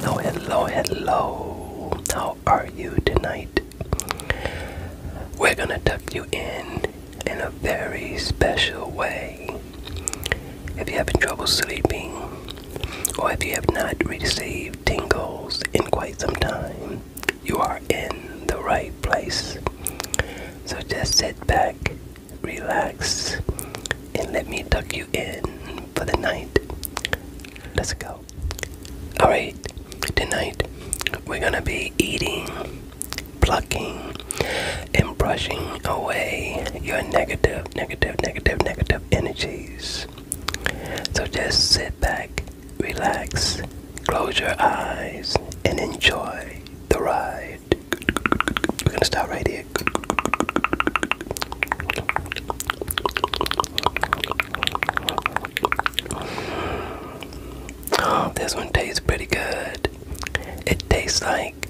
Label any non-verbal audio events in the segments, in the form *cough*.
Hello, hello, hello. How are you tonight? We're gonna tuck you in in a very special way. If you're having trouble sleeping, or if you have not received tingles in quite some time, you are in the right place. So just sit back, relax, and let me tuck you in for the night. Let's go. Alright, tonight we're gonna be eating, plucking, and brushing away your negative, negative, negative, negative energies. So just sit back, relax, close your eyes, and enjoy the ride. We're gonna start right this one tastes pretty good. It tastes like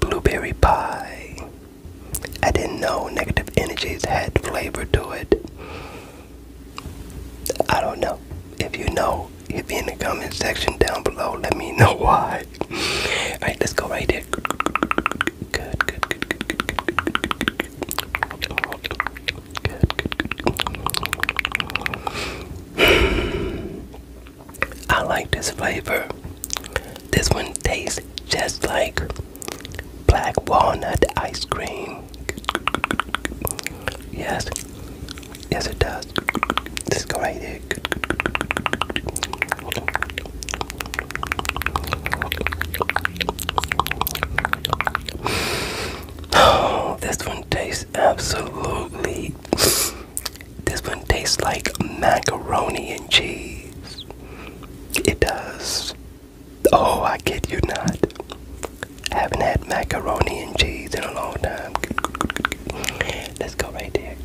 blueberry pie. I didn't know negative energies had flavor to it. I don't know. If you know, hit me in the comment section down below. Let me know *laughs* why. Alright, let's go right here. I like this flavor. This one tastes just like black walnut ice cream. Yes, yes, it does. Let's go right there. Oh, this one tastes absolutely. This one tastes like macaroni and cheese. It does. Oh, I kid you not. Haven't had macaroni and cheese in a long time. Let's go right there.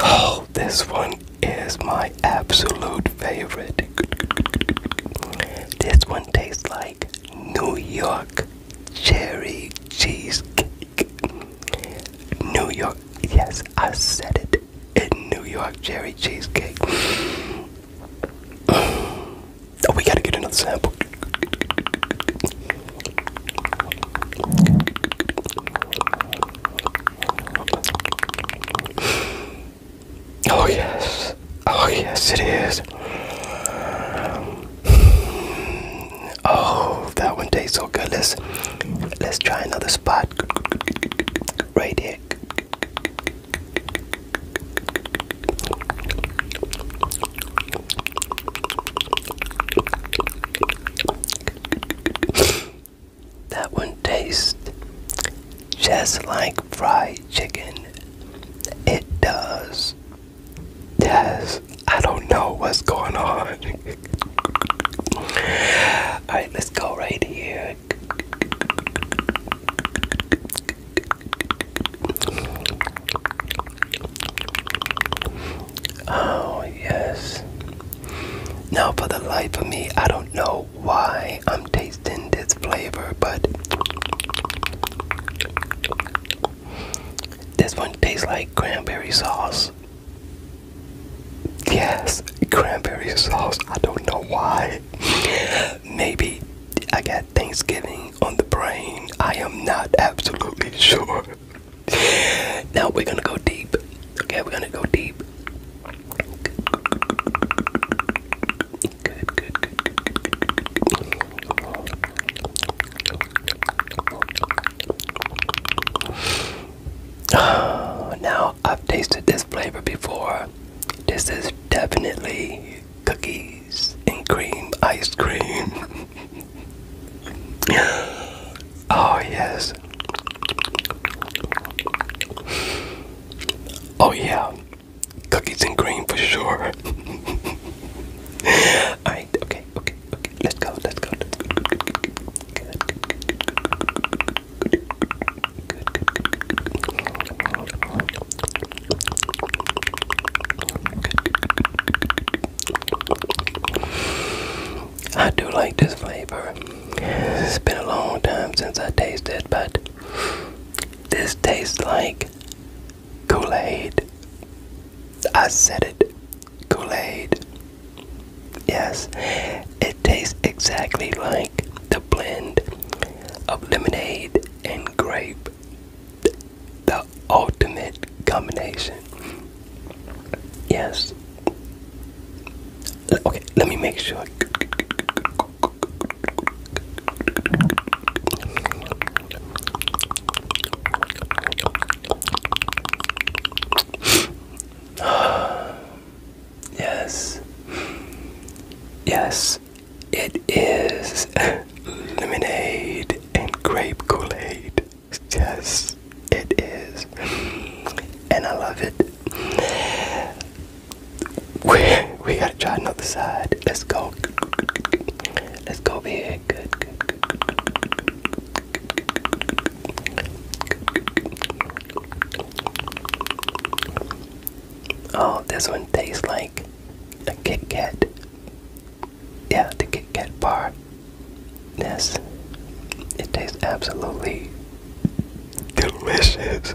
Oh, this one is my absolute favorite. This one tastes like New York cherry cheesecake. New York, yes, I said it. In New York cherry cheesecake. oh, we gotta get another sample. Oh, yes. Oh, yes, it is. Oh, that one tastes so good. Let's, let's try another spot. Right here. That one tastes just like fried chicken. It does. Yes, I don't know what's going on. *laughs* Alright, let's go right here. Oh, yes. Now, for the life of me, I don't know why I'm taking taste in this flavor, but this one tastes like cranberry sauce. Yes, cranberry sauce. I don't know why. *laughs* Maybe I got Thanksgiving on the brain. I am not absolutely sure. now we're gonna go deep. Okay, we're gonna go deep. Good, good, good, good, good, good, good, good, good. *sighs* Now, I've tasted this flavor before. This is definitely cookies and cream ice cream. *laughs* oh, yes. Oh, yeah. Cookies and cream for sure. Alright, okay, okay, okay. Let's go, let's go. Let's go. I do like this flavor. It's been a long time since I tasted, but this tastes like Kool Aid. I said it. Kool Aid. Yes, it tastes exactly like the blend of lemonade and grape. The ultimate combination. Yes. Okay, let me make sure. *sighs* yes. Yes, it is *laughs* lemonade and grape Kool-Aid. Yes, it is. And I love it we gotta try another side. Let's go. Let's go big. Good, good, good, good, good, good. Oh, this one tastes like a Kit Kat. Yeah, the Kit Kat bar. Yes, it tastes absolutely delicious.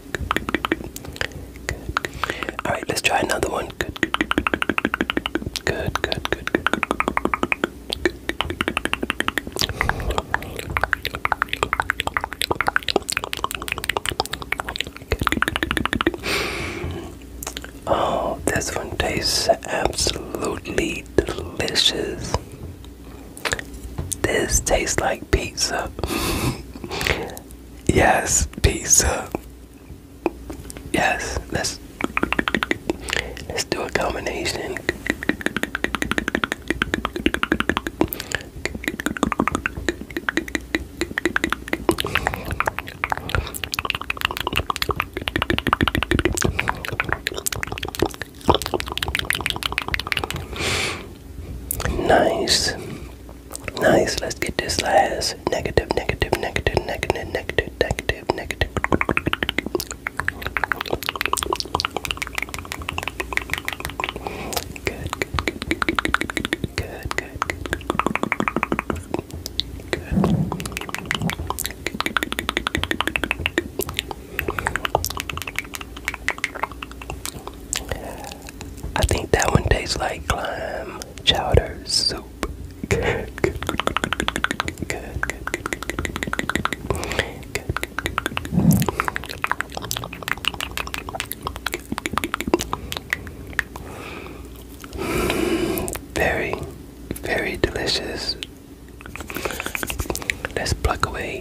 all right, let's try another one. Oh, this one tastes absolutely delicious. This tastes like pizza. Yes, pizza. Yes, let's let's do a combination. Nice. Nice, let's get this last negative, negative, negative, negative, negative, negative, negative. Good, good, good, good, good, good, good. I think that one tastes like clam chowder soup. Good, good, good, good, good, good, good, good, good, good, good, good, good, good, good, good, good. Very, very delicious. Let's pluck away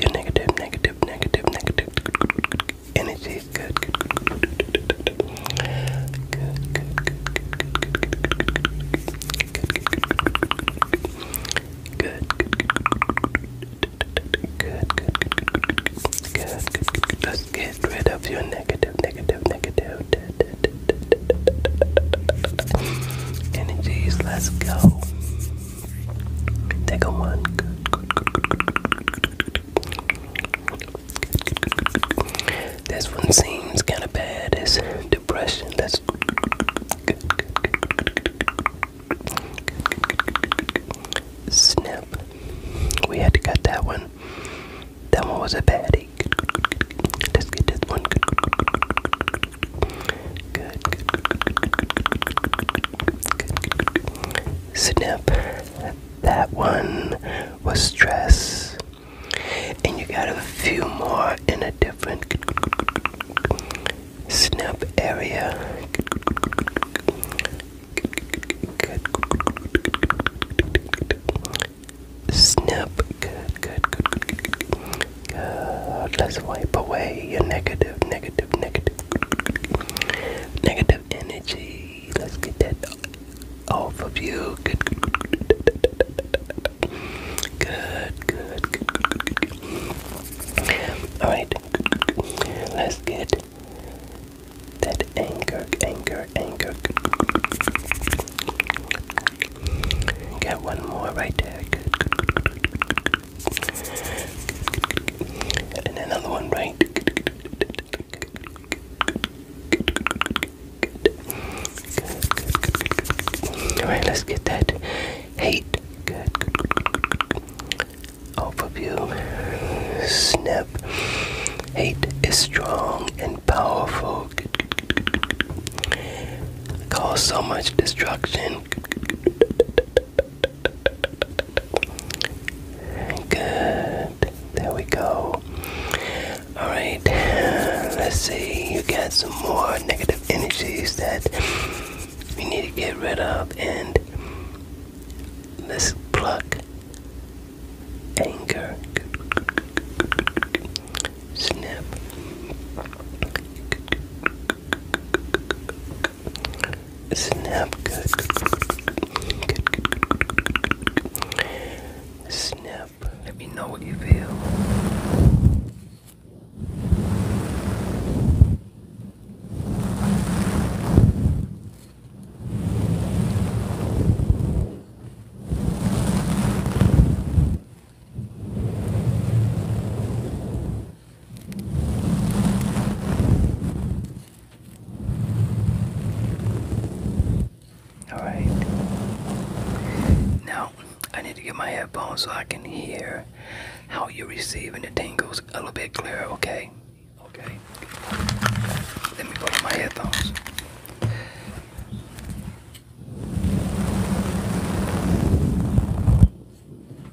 your negative, negative, negative, negative energy. Good, good, good, good, good, good, good, good, good. Let's get rid of your negative, negative, negative energies. Let's go. That one. This one seems kind of bad. It's depression. That's good, good, We had to cut that one. That one was a baddie. Let's get this one. good, snip. That one was stress. And you got a few more in a different snip area. Snip. Good, good, good, Let's wipe away your negative, negative, negative. Negative energy. Let's get that off of you. Good, good, good, good, good, good, All right. Good, good, good. Let's get that anger, anger, anger. Good, one more right there. good, good, good, good, good, good. And another one, right? Alright, let's get that hate. Off of you. Snap. Hate is strong and powerful. Cause so much destruction. Good. There we go. Alright, let's see. You got some more negative energies that we need to get rid of, and let's plug anger. Snip. Snap good. Snap. Let me know what you feel. Alright. Now, I need to get my headphones so I can hear how you're receiving the tingles a little bit clearer, okay? Okay. Let me put on my headphones.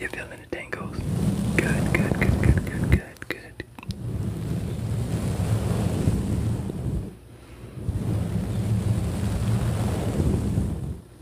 You're feeling the tangles. Good, good, good, good, good, good, good.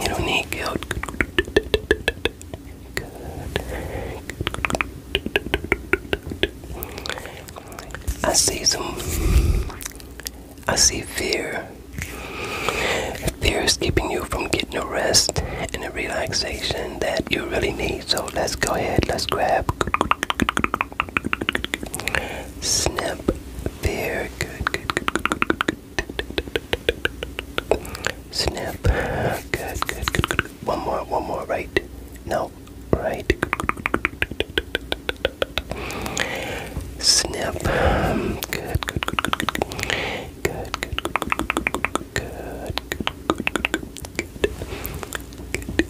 You don't need guilt. I see some. I see fear. Fear is keeping you from getting the rest and the relaxation that you really need. So let's go ahead. Let's grab. Snip. Very good. Good. Good. Good. Good. Good. good. Snip. Good. Good. Good. Good. One more. One more. Right. No. Right. Snip. Good. Good. Good. Good. Good. Good. Good. Good. Good. Good. Good. Good. Good. Good. Good.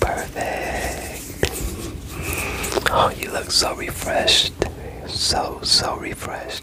Perfect. Oh, you look so refreshed. So, so refreshed.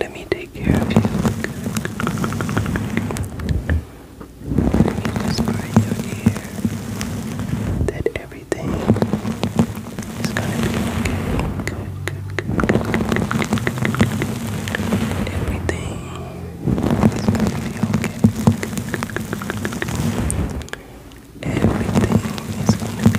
Let me take care of you. Let me whisper in your ear that everything is gonna be okay. Good, good, good, good, Everything is gonna be okay. Everything is gonna be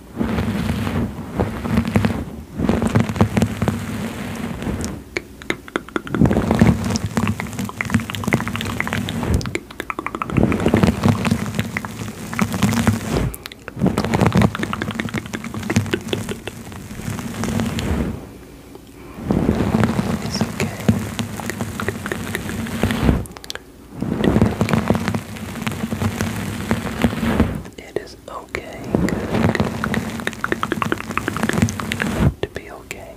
It's okay. It is okay. It okay. Good, To be okay.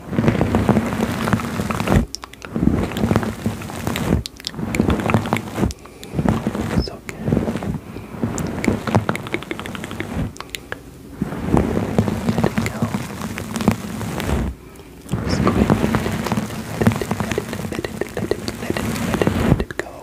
It's okay. Let it go. let it go.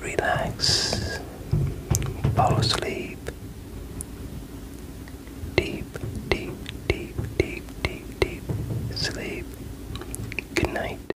Relax, fall asleep. Deep, deep, deep, deep, deep, deep sleep. Good night.